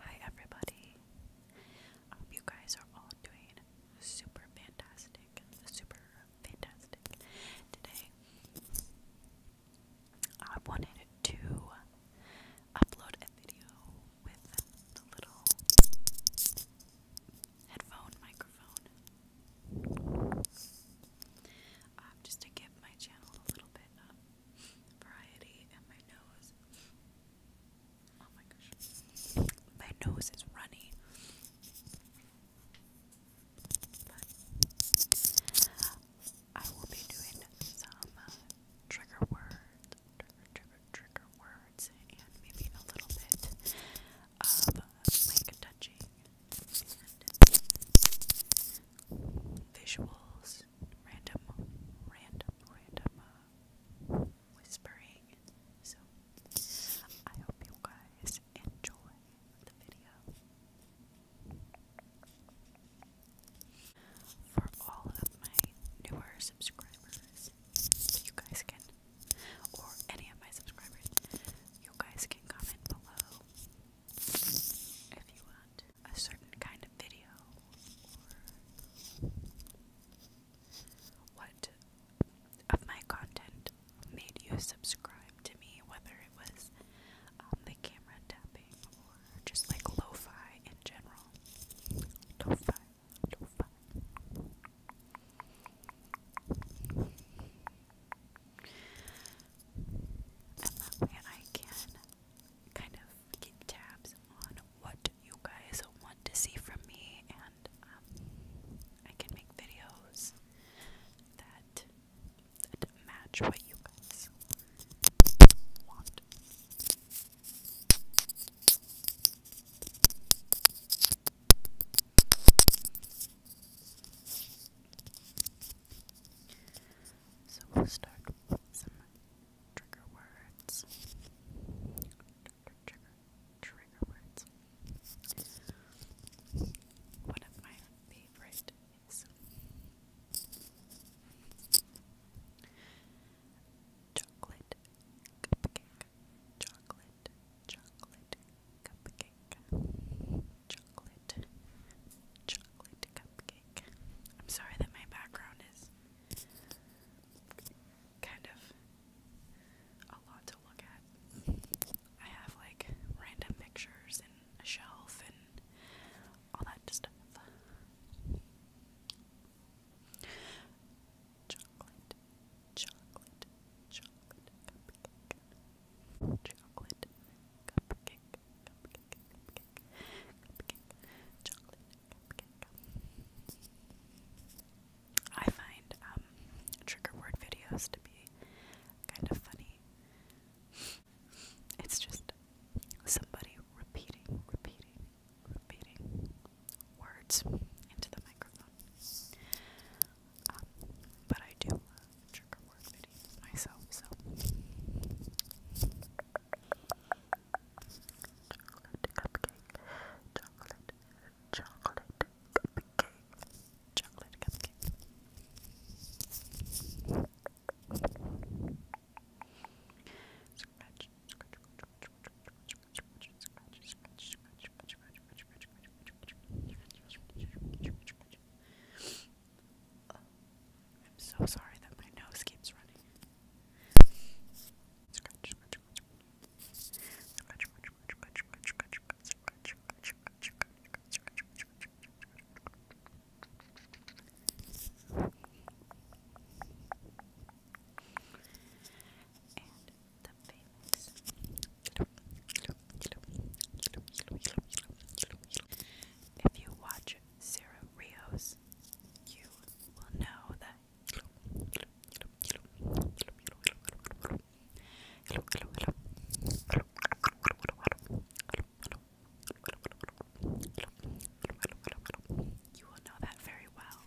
Hi everybody. I hope you guys are all doing super fantastic. Super fantastic. Today I wanted to upload a video with the little headphone microphone. Uh, just to give my channel a little bit variety in my nose. Oh my gosh. My nose is runny. I will be doing some uh, trigger words, trigger, trigger, words, and maybe a little bit of like touching and visuals random, random, random uh, whispering. So I hope you guys enjoy the video. For all of my newer subscribers, you guys can, or any of my subscribers, you guys can comment below if you want a certain kind of video or what of my content made you subscribe to me, whether it was um, the camera tapping or just like lo fi in general. Lo fi, lo fi. And that way I can kind of keep tabs on what you guys want to see from me, and um, I can make videos that, that match what you guys want. So we'll start with some trigger words. Trigger, trigger words. One of my favorite is chocolate cupcake. Chocolate, chocolate cupcake chocolate chocolate cupcake. I'm sorry that my background is kind of a lot to look at. I have like random pictures and a shelf and all that stuff. Chocolate, chocolate, chocolate cupcake chocolate I find um, trigger word videos to be kind of funny. It's just somebody repeating, repeating, repeating words into the microphone but I do trigger word myself, so. Chocolate cupcake, chocolate, chocolate cupcake, chocolate cupcake. I'm so sorry that my nose keeps running. and the famous if you watch Sarah Rios, you will know that you will know that very well.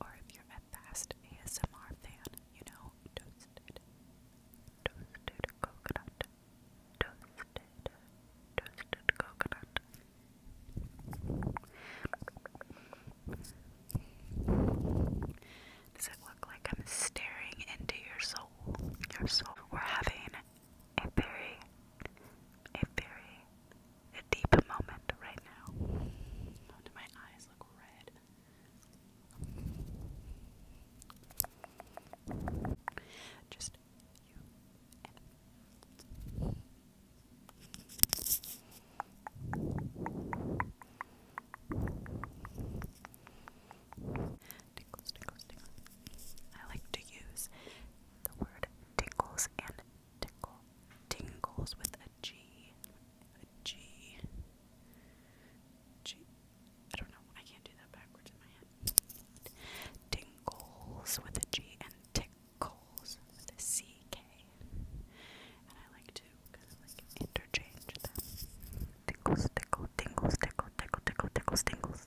Or if you're a fast ASMR fan, you know, toasted, toasted coconut, toasted, toasted coconut. Does it look like I'm staring into your soul? Your soul. We're having very, a very, a deep moment right now. my eyes look red? Just you and Tinkles, I like to use the word tingles and tickle. Tingles with a G. A G. G. I don't know. I can't do that backwards in my head. Tingles with a G and tickles with a C K. And I like to interchange them. Tingles, tickle, tingles, tickle, tickle, tickle, tickles, tingles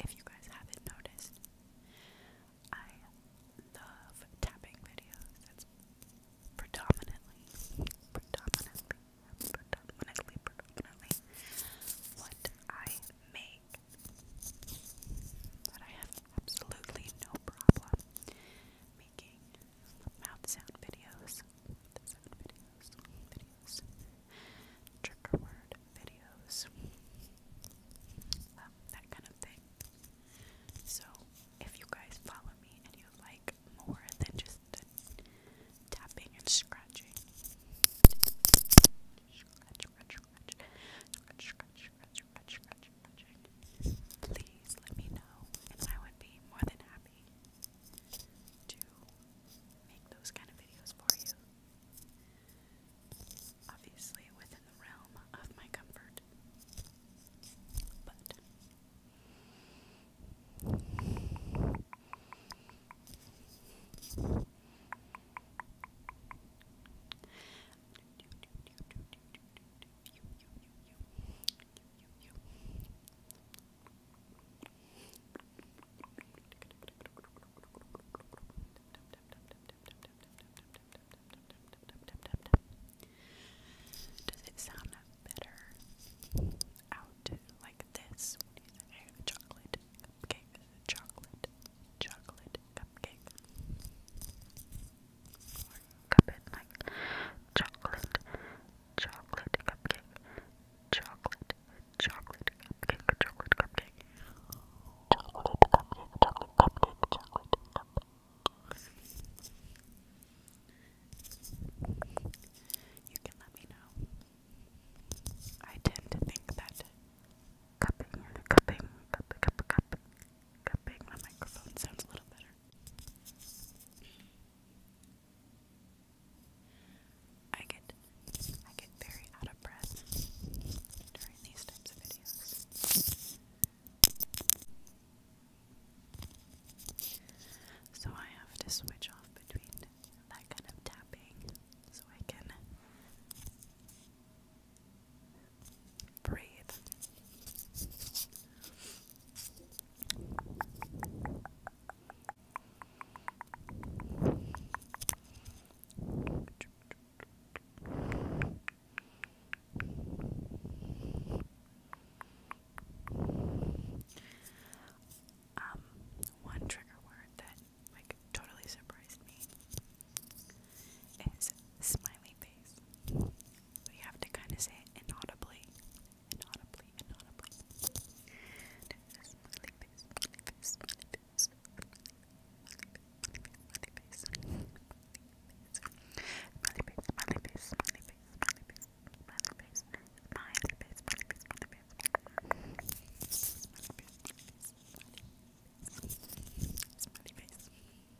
if you guys haven't noticed, I love tapping videos. predominantly, predominantly, predominantly, predominantly what I make. But I have absolutely no problem making mouth sound videos sound trigger word videos, um, that kind of thing. So, if you guys follow me and you like more than just tapping and scratching, please let me know, and I would be more than happy to make those kind of videos for you. Obviously, within the realm of my comfort. But you, you. Does it sound better out like this? Chocolate cupcake, chocolate, chocolate cupcake. Or chocolate chocolate cupcake, chocolate, chocolate cupcake, chocolate cupcake, chocolate cupcake, chocolate cupcake, You can let me know. I tend to think that cupping, cupping, cup, cup, cup, cupping my microphone sounds a little better. I get I get very out of breath during these types of videos. So I have to switch off between that kind of tapping so I can breathe. Um, one trigger word that like totally surprised me is smiley face. We have to kind of say it inaudibly inaudibly, inaudibly. Smiley face, smiley face, smiley face, smiley face, smiley face, smiley face, smiley face, smiley face, smiley face. My face, my face, my face, my face, my face, my face,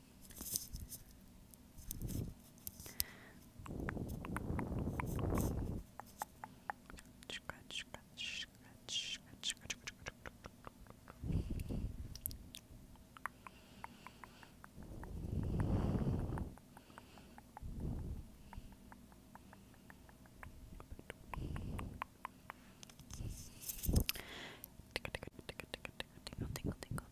Scratch, scratch, scratch, scratch, scratch, scratch. Tingle, tingle, tingle, tingle, tingle,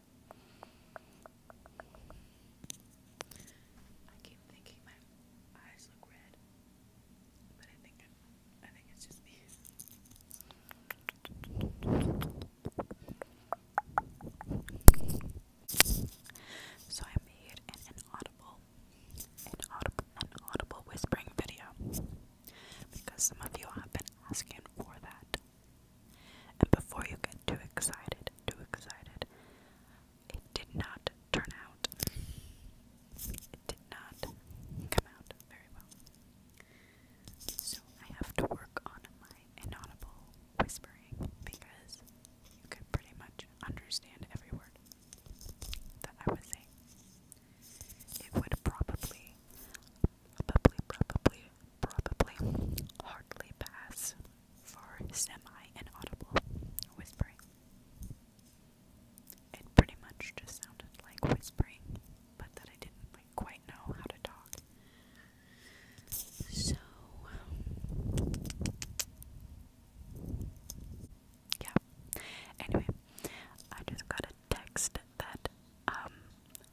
I keep thinking my eyes look red, but I think it's just me. So I made an inaudible, inaudible, inaudible whispering video because some of you have been asking for that. And before you get too excited, too excited, it did not turn out. It did not come out very well. So I have to work on my inaudible whispering because you can pretty much understand every word that I was saying. It would probably, probably, probably probably hardly pass for semi inaudible whispering. It pretty much just sounded like whispering, but that I didn't quite know how to talk. So yeah. Anyway, I just got a text that um,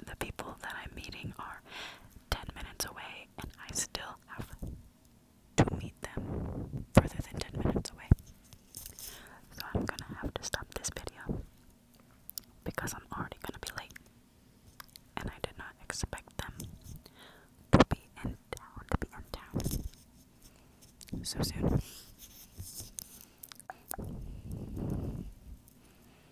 the people that I'm meeting are 10 minutes away and I still have to meet them further than 10 minutes away. So I'm gonna have to stop this video because I'm already gonna be late and I did not expect them to be in town, to be in town so soon.